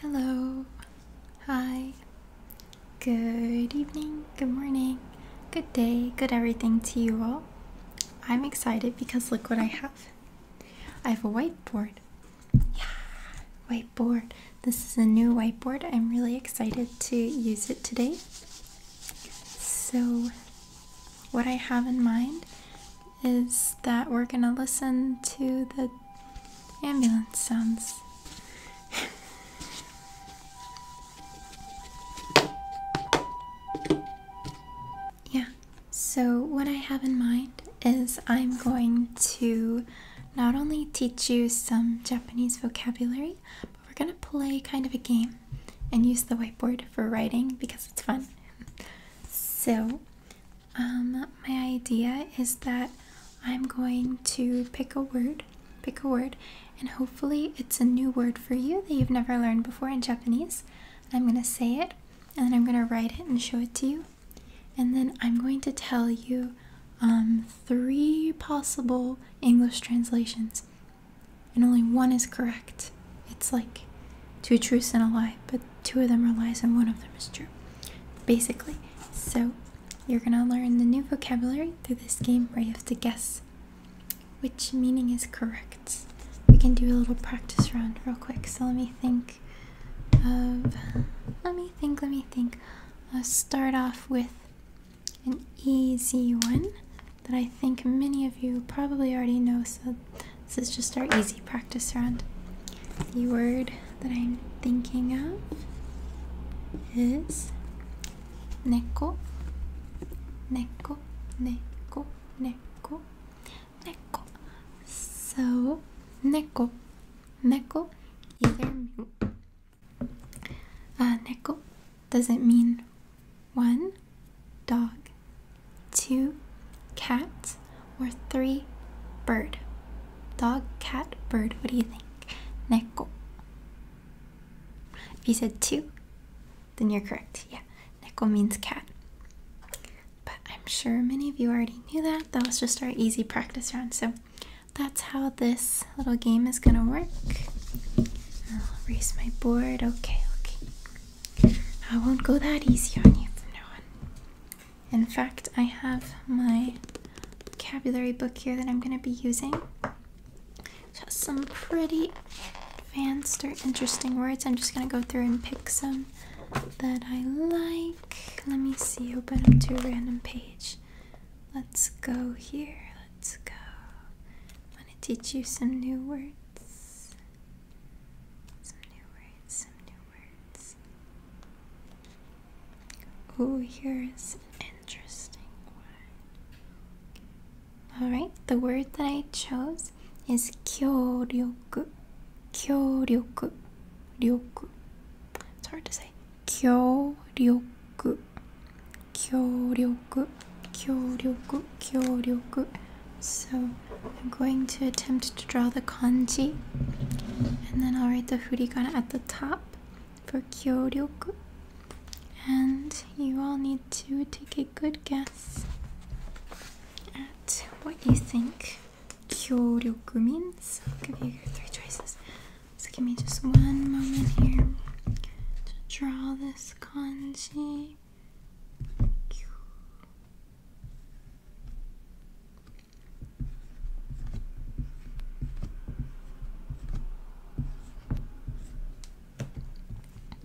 Hello, hi, good evening, good morning, good day, good everything to you all. I'm excited because look what I have. I have a whiteboard. Yeah, whiteboard. This is a new whiteboard. I'm really excited to use it today. So, what I have in mind is that we're gonna listen to the ambulance sounds. yeah, so what I have in mind is I'm going to not only teach you some Japanese vocabulary, but we're gonna play kind of a game and use the whiteboard for writing because it's fun. So, um, my idea is that I'm going to pick a word, pick a word, and hopefully it's a new word for you that you've never learned before in Japanese. I'm going to say it, and then I'm going to write it and show it to you. And then I'm going to tell you um, three possible English translations, and only one is correct. It's like two truths and a lie, but two of them are lies and one of them is true, basically. So you're gonna learn the new vocabulary through this game where you have to guess which meaning is correct. We can do a little practice round real quick. So let me think of let me think, let me think. I'll start off with an easy one that I think many of you probably already know, so this is just our easy practice round. The word that I'm thinking of is neko, neko, neko, neko, neko. So, neko, neko, either uh, neko does it mean one dog two cat, or three bird? Dog, cat, bird. What do you think? Neko. If you said two, then you're correct. Yeah, neko means cat. But I'm sure many of you already knew that. That was just our easy practice round. So that's how this little game is going to work. I'll erase my board. Okay, okay. I won't go that easy on you from now on. In fact, I have my vocabulary book here that I'm going to be using. Just some pretty advanced or interesting words. I'm just going to go through and pick some that I like. Let me see, open up to a random page. Let's go here. Let's go. I want to teach you some new words. Some new words, some new words. Oh, here's an interesting one. Alright, the word that I chose is kyōryoku. Kyōryoku. Ryoku. It's hard to say. Kyōryoku. Kyōryoku. Kyōryoku. Kyōryoku. So I'm going to attempt to draw the kanji and then I'll write the hiragana at the top for kyōryoku. And you all need to take a good guess at what you think kyōryoku means. I'll give you three choices. So give me just one moment here to draw this kanji.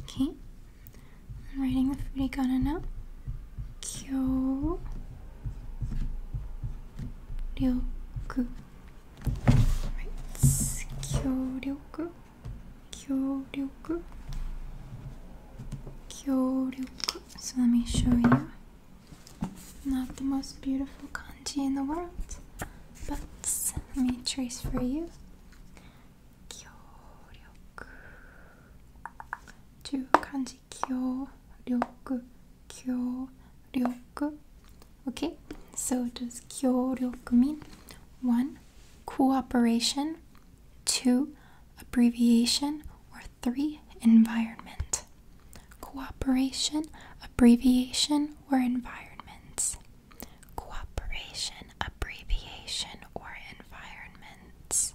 Okay. I'm writing the furigana now. Kyo Right. Kyo ryoku. Kyo so let me show you. Not the most beautiful kanji in the world, but let me trace for you. Kyōryoku. Two kanji kyōryoku, kyōryoku. Okay, so does kyōryoku mean one cooperation, two abbreviation, or three environment. Cooperation, abbreviation, or environments. Cooperation, abbreviation, or environments.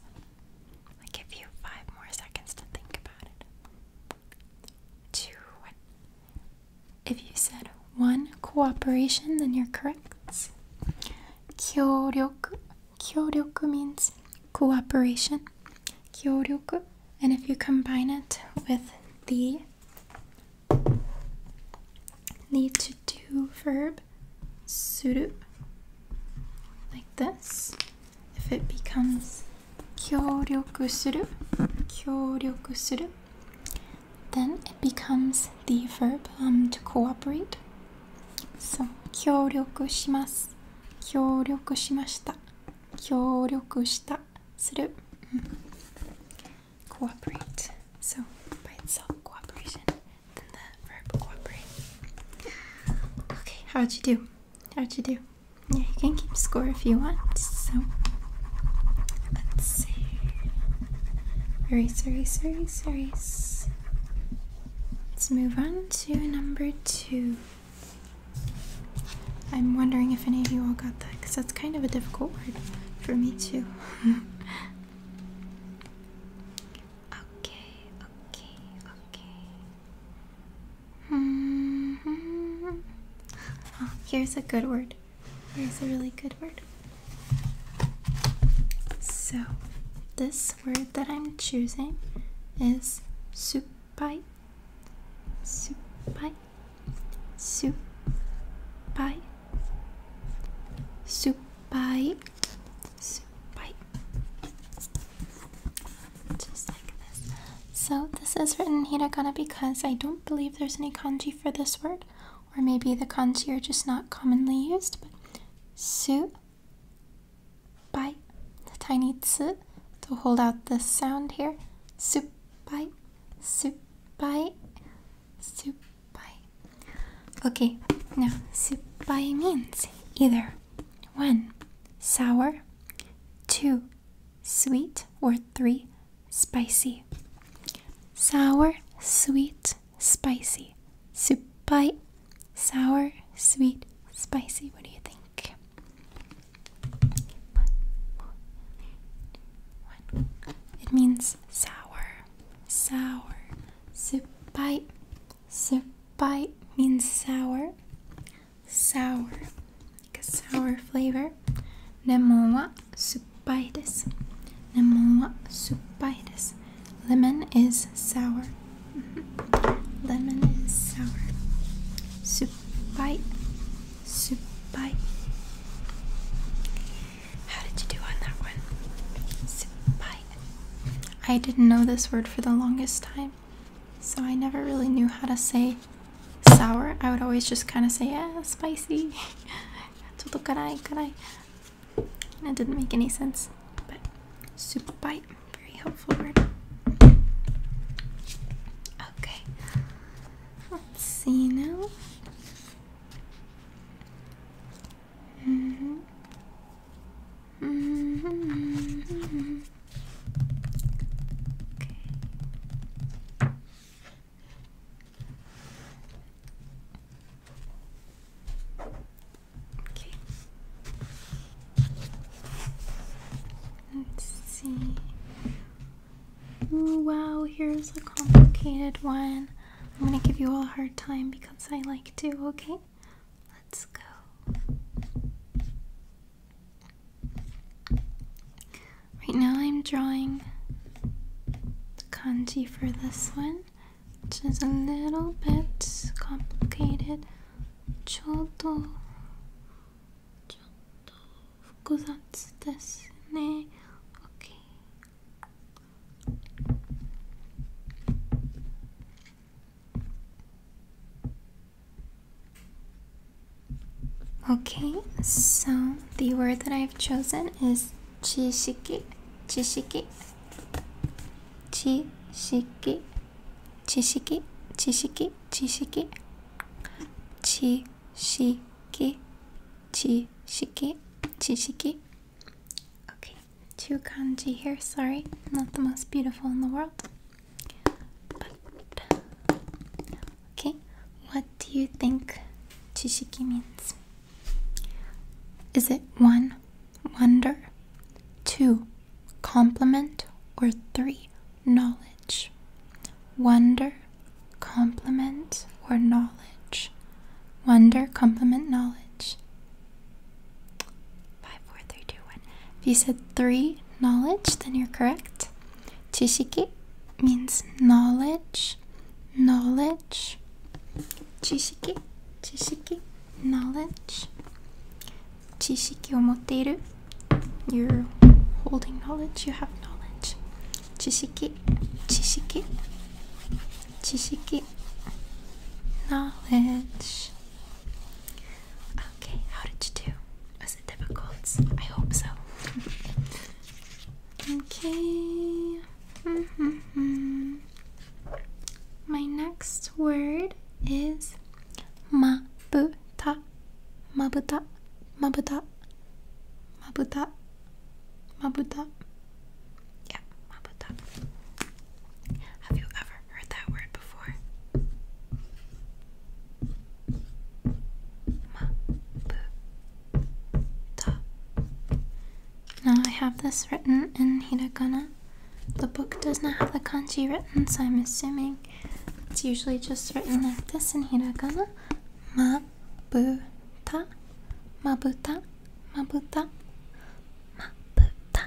I give you five more seconds to think about it. Two. If you said one cooperation, then you're correct. 協力 Kyoryoku means cooperation. Kyoryoku. And if you combine it with the need to do verb suru like this, if it becomes kyoryoku suru, kyoryoku suru, then it becomes the verb um, to cooperate そう協力します協力しました協力したする cooperate so by itself cooperation then the verb cooperate okay how'd you do how'd you do yeah you can keep score if you want so let's see erase erase erase erase Let's move on to number two. I'm wondering if any of you all got that because that's kind of a difficult word for me, too. okay, okay, okay. Hmm. Oh, here's a good word. Here's a really good word. So, this word that I'm choosing is supai, supai, supai, supai, supai, just like this. So this is written hiragana because I don't believe there's any kanji for this word, or maybe the kanji are just not commonly used. But su Bite. The tiny ts to hold out the sound here. Soup bite. Soup bite. Soup bite. Okay, now soup bite means either one, sour, two, sweet, or three, spicy. Sour, sweet, spicy, supai, sour, sweet, spicy. What do you think? It means sour, sour, supai, supai means sour, sour, like a sour flavor. Lemon wa suppai desu. Lemon is sour. Lemon is sour. Supai. Supai. How did you do on that one? Supai. I didn't know this word for the longest time, so I never really knew how to say sour. I would always just kind of say, yeah, spicy. That didn't make any sense, but super bite, very helpful word. Okay, let's see now. -hmm. -hmm. Okay. Okay. Let's see. wow, here's a complicated one. I'm gonna give you all a hard time because I like to, okay? Let's go. Right now, I'm drawing the kanji for this one, which is a little bit complicated. ちょっとちょっと複雑ですね。Okay. Okay, so the word that I've chosen is 知識知識知識知識知識知識知識知識知識 Okay, two kanji here, sorry, not the most beautiful in the world. But okay, what do you think chishiki means? Is it one wonder, two, complement, or three, knowledge. Wonder, complement, or knowledge. Wonder, complement, knowledge. Five, four, three, two, one. If you said three, knowledge, then you're correct. Chishiki means knowledge, knowledge. Chishiki, chishiki knowledge 知識を持っている you're holding knowledge you have knowledge 知識知識知識 knowledge okay how did you do was it difficult I hope so okay mm -hmm -hmm. My next word is mabuta, mabuta, mabuta, mabuta, mabuta. Yeah, mabuta. Have you ever heard that word before? Mabuta. Now I have this written in hiragana. The book does not have the kanji written, so I'm assuming it's usually just written like this in hiragana. Mabuta, mabuta, mabuta, mabuta.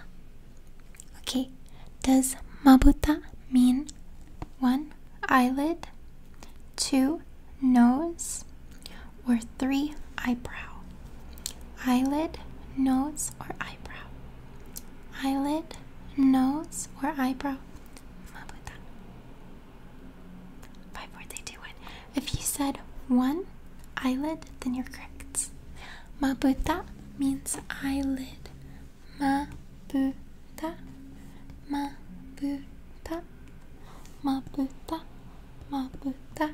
Okay, does mabuta mean one eyelid, two nose, or three eyebrow, eyelid, nose, or eyebrow, eyelid, nose, or eyebrow. Five, four, three, two, one. If you said one eyelid, then you're correct. Mabuta means eyelid. Mabuta, mabuta, mabuta, mabuta.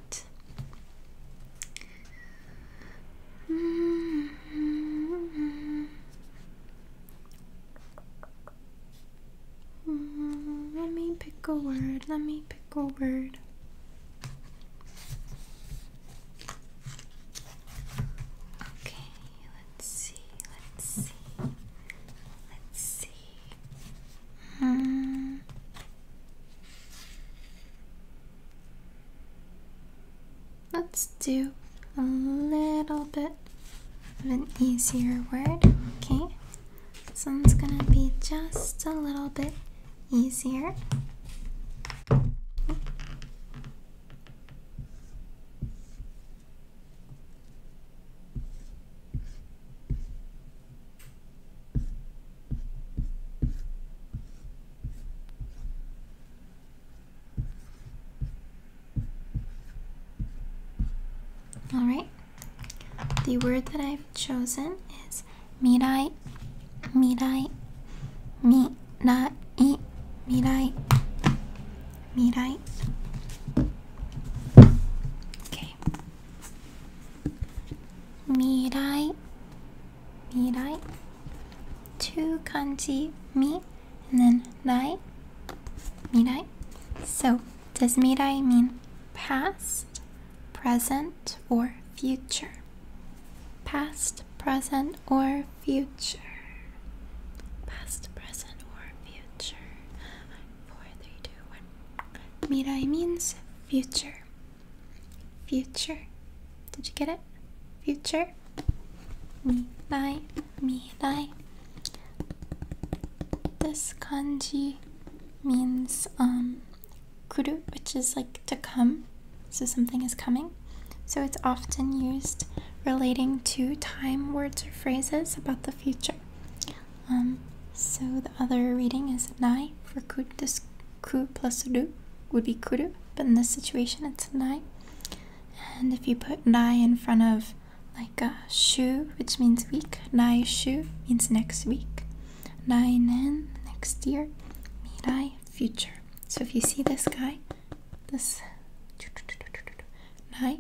Mm-hmm. Let me pick a word. Let me pick a word. Okay, let's see. Let's see. Let's see. Hmm. Let's do a little bit of an easier word, okay? This one's gonna be just a little bit easier. All right. The word that I've chosen is mirai, mirai, mirai, mirai, mirai. Okay. 未来未来 two kanji mi and then rai mirai so does mirai mean past present or future past present or future past present or future Four, three, two, one. mirai means Future. Future. Did you get it? Future. Me dai. Me dai. This kanji means um kuru, which is like to come. So something is coming. So it's often used relating to time words or phrases about the future. Um, so the other reading is nai for ku, this ku plus du would be kudu, but in this situation it's nai. And if you put nai in front of like a uh, shu, which means week, nai shu means next week, nai nen next year, mirai future. So if you see this guy, this nai,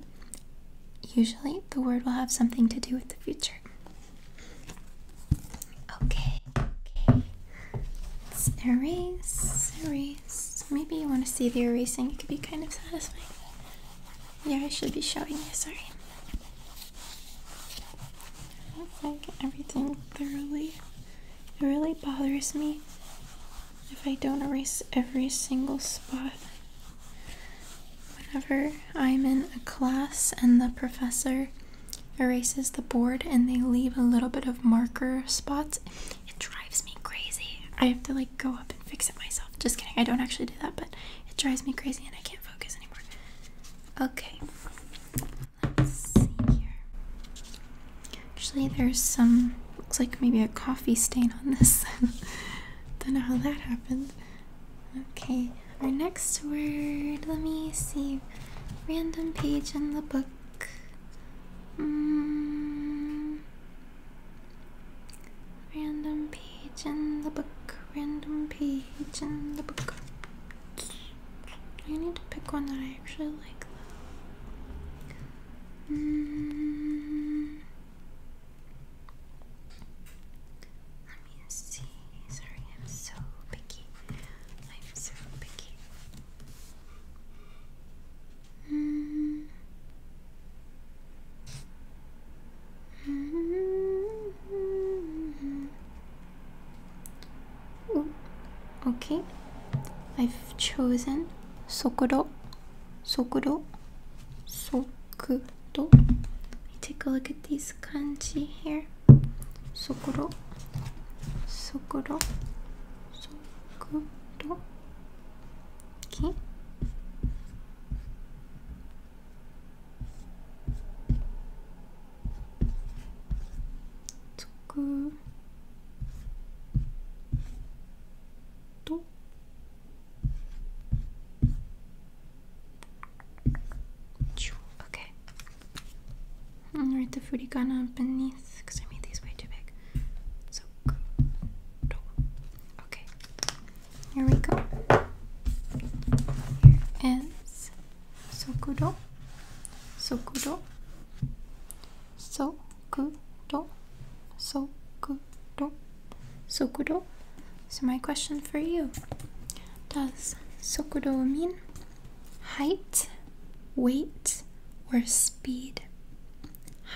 usually the word will have something to do with the future. Okay, okay. erase, erase. Maybe you want to see the erasing. It could be kind of satisfying. Yeah, I should be showing you, sorry. Let's everything thoroughly. It really bothers me if I don't erase every single spot. Whenever I'm in a class and the professor erases the board and they leave a little bit of marker spots, it drives me crazy. I have to like go up and fix it myself. Just kidding, I don't actually do that, but it drives me crazy and I can't focus anymore. Okay, let's see here. Actually, there's some, looks like maybe a coffee stain on this. Don't know how that happened. Okay, our next word, let me see. Random page in the book. Mm. Random page in the book. Random page in the book. I need to pick one that I actually like though. Mm. Let me see. Sorry, I'm so picky. I'm so picky. Mm. -hmm. Ooh. Hmm. Hmm. Okay, I've chosen Sokudo. Sokudo. Soku, do. Take a look at these kanji here. Sokoro, sokoro, sokoro. Okay. Sokoro. と Okay. Alright, the furigana beneath, because I made these way too big. So, okay. Here we go. Here is Sokudo. Sokudo. Sokudo. Sokudo. Sokudo. So my question for you. Does sokudo mean height, weight, or speed?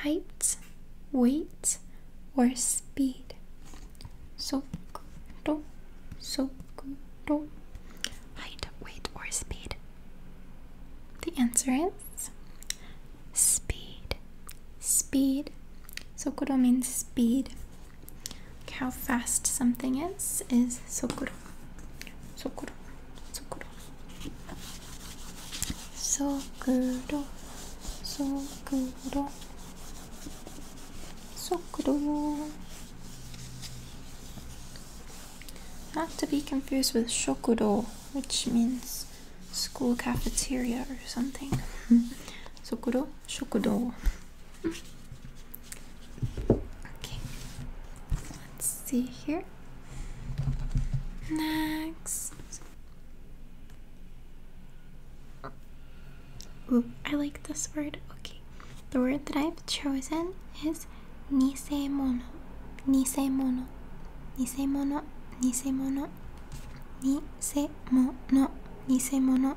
Height, weight, or speed? Sokudo, sokudo. Height, weight, or speed? The answer is speed. Speed. Sokudo means speed how fast something is is sokuro. Sokuro. Sokuro. Sokuro. Sokuro. Not to be confused with shokudō, which means school cafeteria or something. Sokuro. Shokudo. Okay, let's see here. Next. Ooh, I like this word. Okay, the word that I've chosen is nisemono. Nisemono. Nisemono. Nisemono. Nisemono. Nisemono.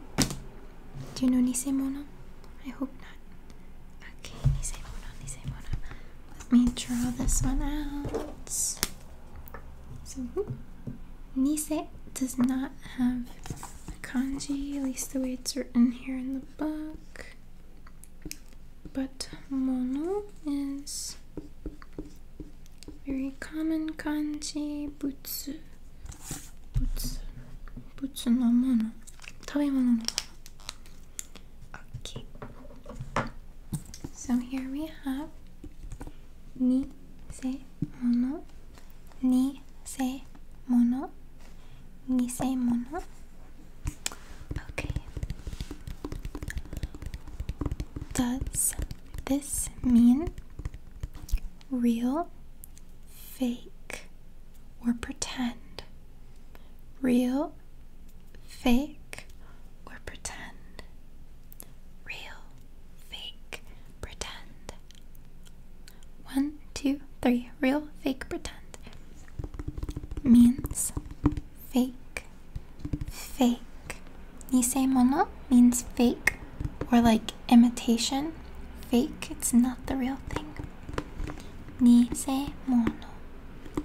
Do you know Nisemono? I hope not. Okay, Nisemono, Nisemono. Let me draw this one out. So, Nise does not have kanji, at least the way it's written here in the book. But mono is very common kanji, butsu, butsu, butsu no mono, tabimono no Okay. So here we have ni se mono, ni se mono, ni se mono. Okay. Does this mean real, fake, or pretend. Real, fake, or pretend. Real, fake, pretend. One, two, three. Real, fake, pretend means fake, fake, mono means fake or like imitation. Fake, it's not the real thing. mono.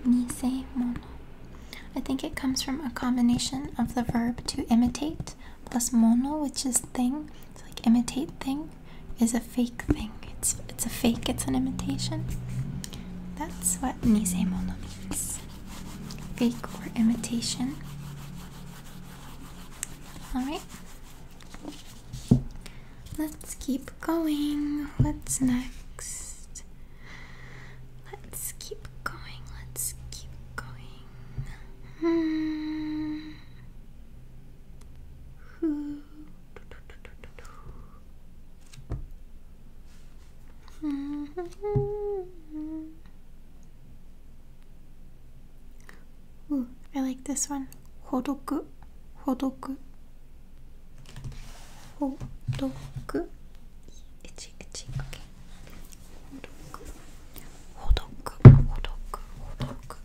Nisemono. mono. I think it comes from a combination of the verb to imitate plus mono, which is thing. It's like imitate thing is a fake thing. It's it's a fake, it's an imitation. That's what mono means. Fake or imitation. Alright. Let's keep going. What's next? Let's keep going. Let's keep going. Hmm. Ooh, I like this one. Hodoku. Hodoku. Hodoku. Itchy, itchy. Okay. Hodoku. Hodoku. Hodoku. Hodoku.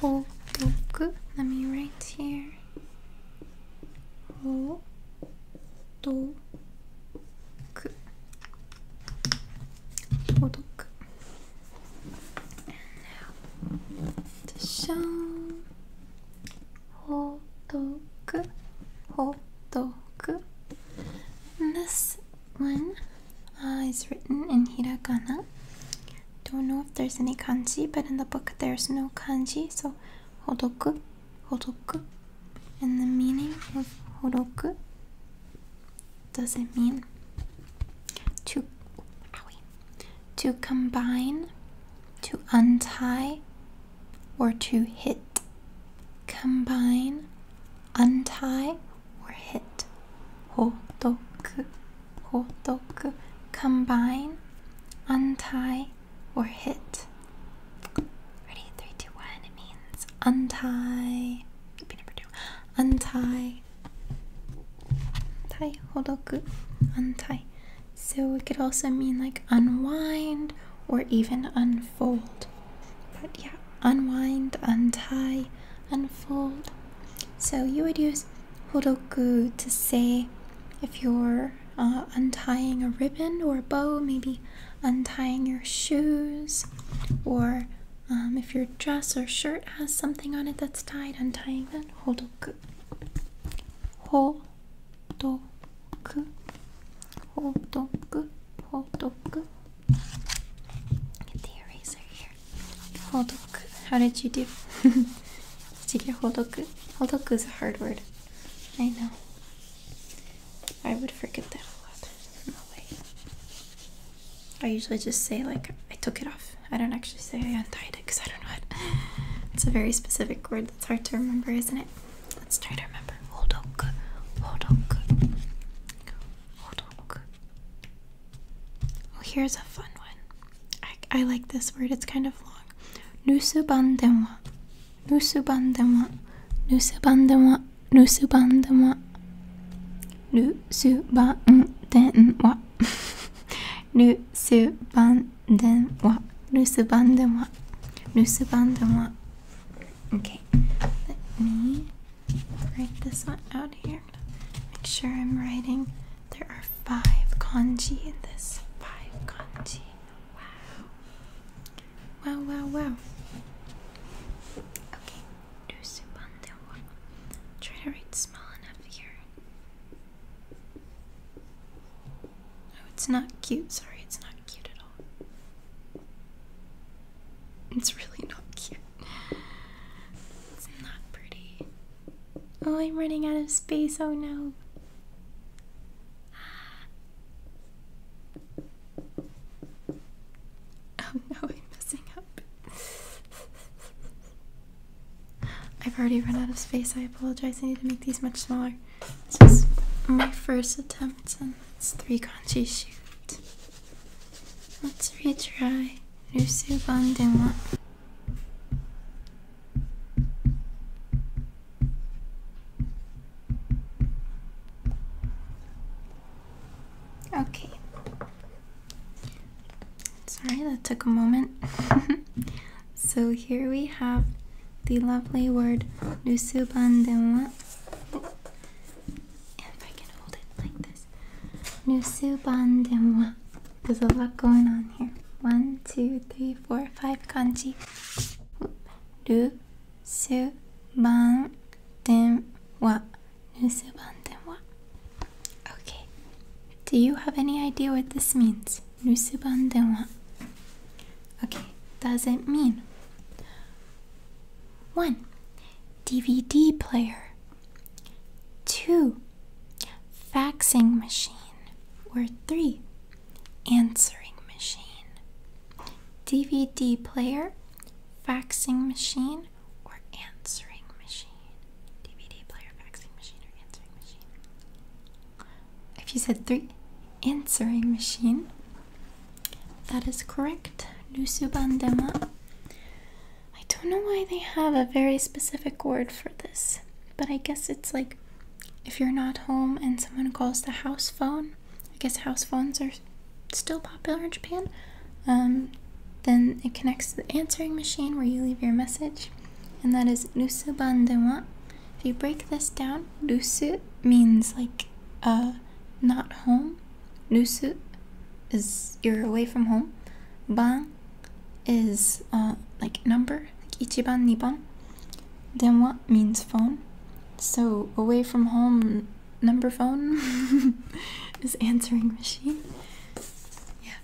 Hodoku. Let me write here. Hodoku. 消毒じしゃーんほどくほどく This one uh, is written in hiragana Don't know if there's any kanji but in the book there's no kanji so ほどくほどく And the meaning of horoku does it mean to to combine, to untie, or to hit? Combine, untie, or hit. Hotoku, hotoku, combine, untie, or hit. Ready? Three, two, one. It means untie. Be number two. Untie. Tie. Hodoku. Untie. So it could also mean like unwind or even unfold. But yeah, unwind, untie, unfold. So you would use hodo hodoku to say if you're uh, untying a ribbon or a bow, maybe untying your shoes, or um, if your dress or shirt has something on it that's tied, untying that. Hodoku. Hodoku. Hodoku. Hodoku. Get the eraser here. Hodoku. How did you do? did you get hodoku? Hodoku is a hard word. I know. I would forget that a lot. I usually just say like I took it off. I don't actually say I untied it because I don't know it. It's a very specific word that's hard to remember, isn't it? Let's try to remember. Hodok. Hodok. Hodok. Oh, here's a fun one. I, I like this word. It's kind of long. Nusubandemwa. Nusubandama, Nusubandama, Nusubandama, Nusubandenwa, Nusubandenwa, Nusubandama, Nusubandama. Okay, let me write this one out here. Make sure I'm writing. There are five kanji in this. Five kanji. Wow. Wow, wow, wow. Okay, do Subandewa. Try to read small enough here. Oh, it's not cute. Sorry, it's not cute at all. It's really not cute. It's not pretty. Oh, I'm running out of space. Oh no. Ah, Oh no, I'm messing up. I've already run out of space. I apologize. I need to make these much smaller. This is my first attempt, and it's three kanji shoot. Let's retry. Rusu Bandewa. Okay. Sorry, that took a moment. so here we have the lovely word nusubandenwa. If I can hold it like this. Nusubandenwa. There's a lot going on here. One, two, three, four, five kanji. Nusuban. 電話 Okay. Do you have any idea what this means? Okay. Does it mean? One. DVD player. Two. Faxing machine. Or three. Answering machine. DVD player, faxing machine, or answering machine. DVD player, faxing machine, or answering machine. If you said three, answering machine. That is correct. Lusubandema. I don't know why they have a very specific word for this, but I guess it's like if you're not home and someone calls the house phone, I guess house phones are still popular in Japan. Um, then it connects to the answering machine where you leave your message, and that is nusubandenwa. If you break this down, nusu means like uh, not home. Nusu is you're away from home. Ban is uh, like number, like ichiban, niban. Denwa means phone. So, away from home number phone is answering machine. Yeah,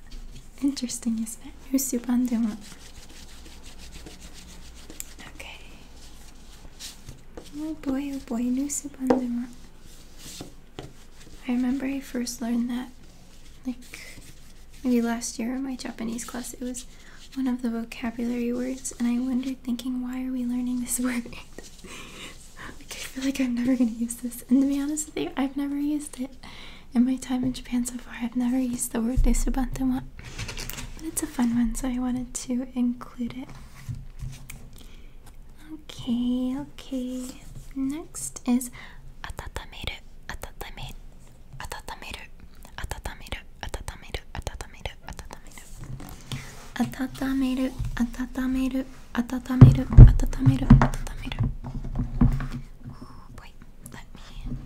interesting, isn't it? Who's your bandeau? Okay. Oh boy, oh boy, Noosu Bandema. I remember I first learned that, like, maybe last year in my Japanese class. It was one of the vocabulary words, and I wondered, thinking, why are we learning this word? like, I feel like I'm never gonna use this, and to be honest with you, I've never used it in my time in Japan so far. I've never used the word desubantawa, but it's a fun one, so I wanted to include it. Okay, okay. Next is atatameru, atatameru, atatameru, atatameru, 温める温める温める温める温める温める温める温める Wait, let me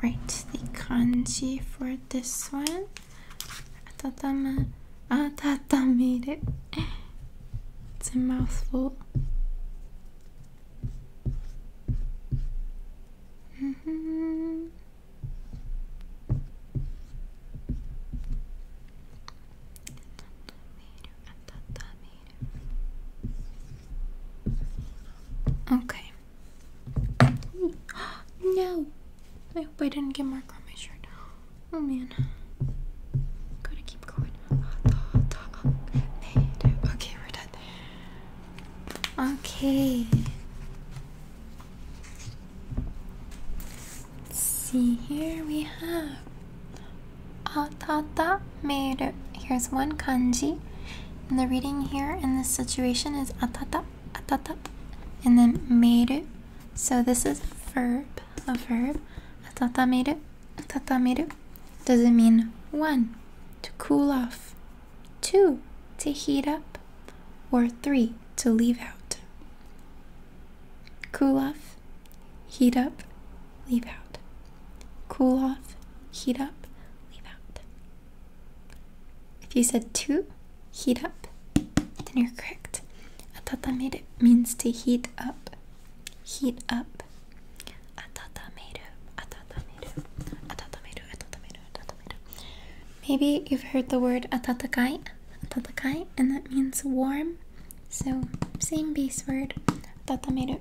write the kanji for this one 温め温める It's a mouthful Okay. no! I hope I didn't get mark on my shirt. Oh man. Gotta keep going. Okay, we're done. Okay. Let's see, here we have atata Atatameru. Here's one kanji. And the reading here in this situation is atata, atata, and then meru. So this is a verb, a verb. atata atatameru. Does it mean one? To cool off, two to heat up, or three to leave out. Cool off, heat up, leave out. Cool off, heat up, leave out. If you said two, heat up, then you're correct. Atatameru means to heat up, heat up. Atatameru, atatameru, atatameru, atatameru, Maybe you've heard the word atatakai, atatakai, and that means warm. So same base word, atatameru.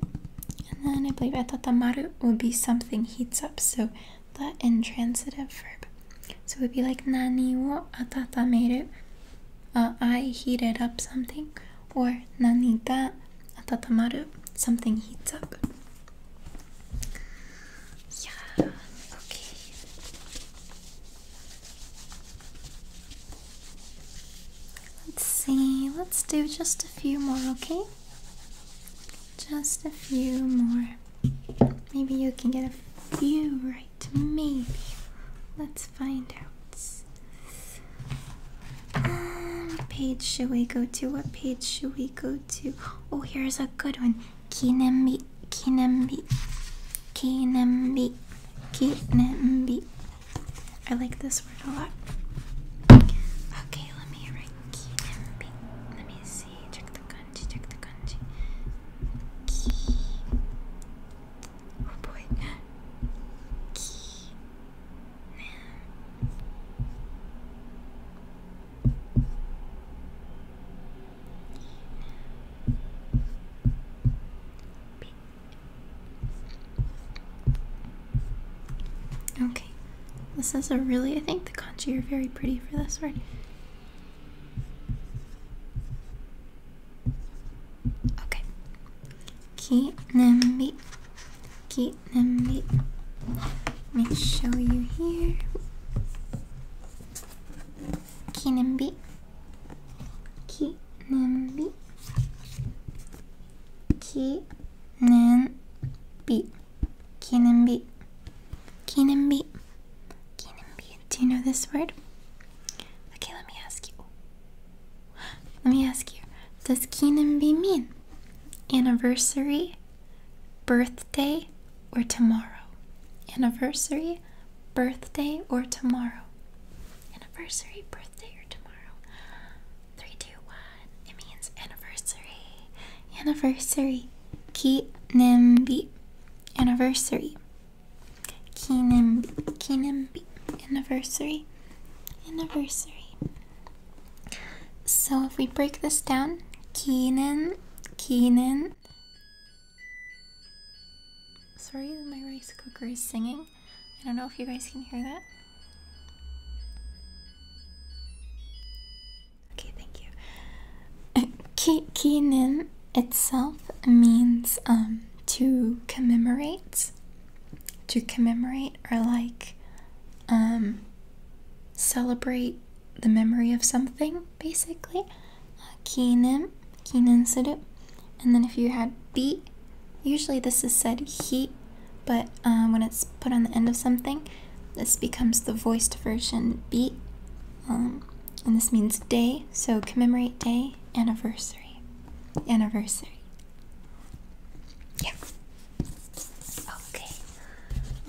And then I believe atatamaru would be something heats up. So that intransitive verb. So it would be like nani wo atatameru. I heated up something, or nani ga atatamaru, something heats up. Yeah, okay. Let's see, let's do just a few more, okay? Just a few more. Maybe you can get a few right. Maybe. Let's find out. Um, page should we go to? What page should we go to? Oh, here's a good one. I like this word a lot Okay, let me write Kinenbi. Let me see, check the kanji, check the kanji. Ki. Oh boy. Ki. Nam. Okay, this is a really, I think the kanji are very pretty for this word. Okay. Kinenbi. Kinenbi. Let me show you here. 記念日記念日記念日記念日記念日記念日 Do you know this word? Okay, let me ask you. Let me ask you. Does 記念日 mean anniversary birthday or tomorrow. Anniversary, birthday or tomorrow. Anniversary, birthday or tomorrow. Three, two, one. It means anniversary. Anniversary. Kinimbi. Anniversary. Kinimbi. Kinimbi. Anniversary. Anniversary. So if we break this down, Kinen Keenan. Sorry my rice cooker is singing. I don't know if you guys can hear that. Okay, thank you. Ke Keenan itself means um, to commemorate. To commemorate or like um, celebrate the memory of something, basically. Kinen, kinen suru. And then if you had bi, usually this is said heat, but uh, when it's put on the end of something, this becomes the voiced version bi. Um, and this means day, so commemorate day, anniversary. Anniversary. Yeah. Oh. Okay.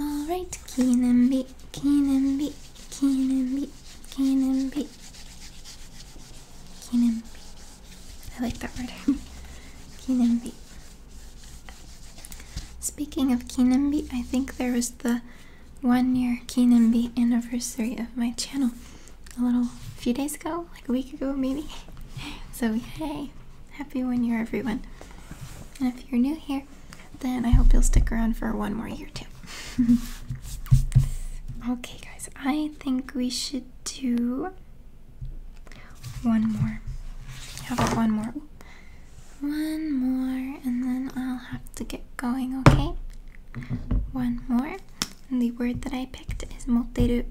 Alright, keen and be, keen and be, keen be, keen be. Keen be. I like that word. keen be. Speaking of Keenanbi, I think there was the one year Keenanbi anniversary of my channel a little few days ago, like a week ago maybe. So, hey, Happy one year, everyone. And if you're new here, then I hope you'll stick around for one more year too. okay, guys, I think we should do one more. How about one more? One more, and then I'll have to get going, okay? One more. And the word that I picked is moteru.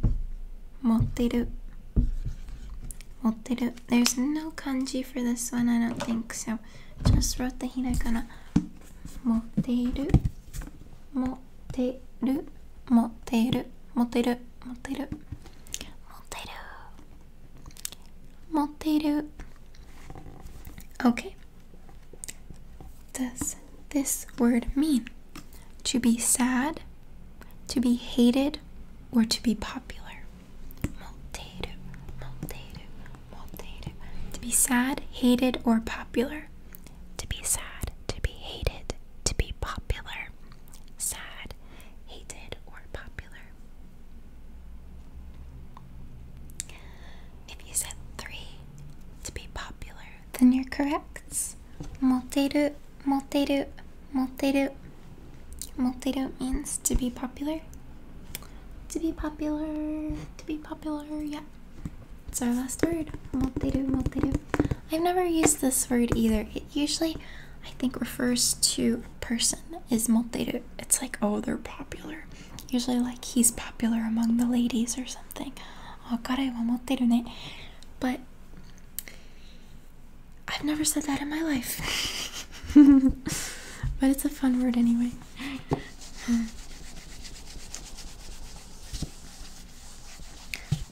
Moteru. Moteru there's no kanji for this one, I don't think so. Just wrote the hiragana. Moteru, moteru, moteru, moteru, moteru, moteru, moteru. Okay. Does this word mean to be sad, to be hated, or to be popular? To be sad, hated, or popular. To be sad, to be hated, to be popular. Sad, hated, or popular. If you said three to be popular, then you're correct. Moldative, moldative, moldative. Multidot means to be popular. To be popular, to be popular, yeah. It's our last word. Multidot, multidot. I've never used this word either. It usually, I think, refers to person, is multidot. It's like, oh, they're popular. Usually, like, he's popular among the ladies or something. Oh, 彼は持ってるね. But I've never said that in my life. but it's a fun word anyway.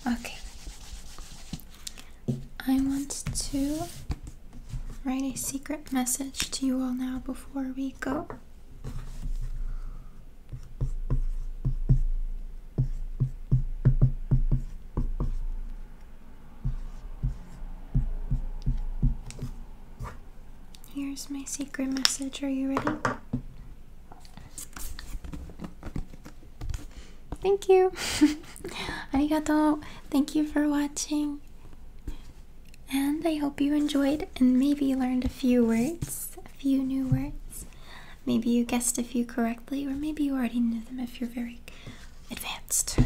okay. I want to write a secret message to you all now before we go. Here's my secret message. Are you ready? Thank you. Arigato. Thank you for watching. And I hope you enjoyed and maybe learned a few words, a few new words. Maybe you guessed a few correctly, or maybe you already knew them if you're very advanced.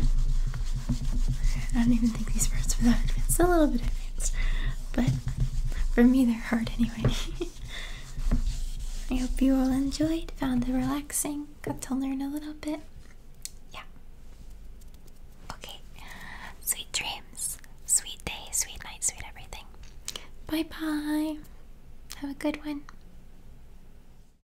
I don't even think these words were that advanced. A little bit advanced. But for me, they're hard anyway. I hope you all enjoyed, found it relaxing, got to learn a little bit. Yeah. Okay. Sweet dreams. Sweet day, sweet night, sweet everything. Bye bye. Have a good one.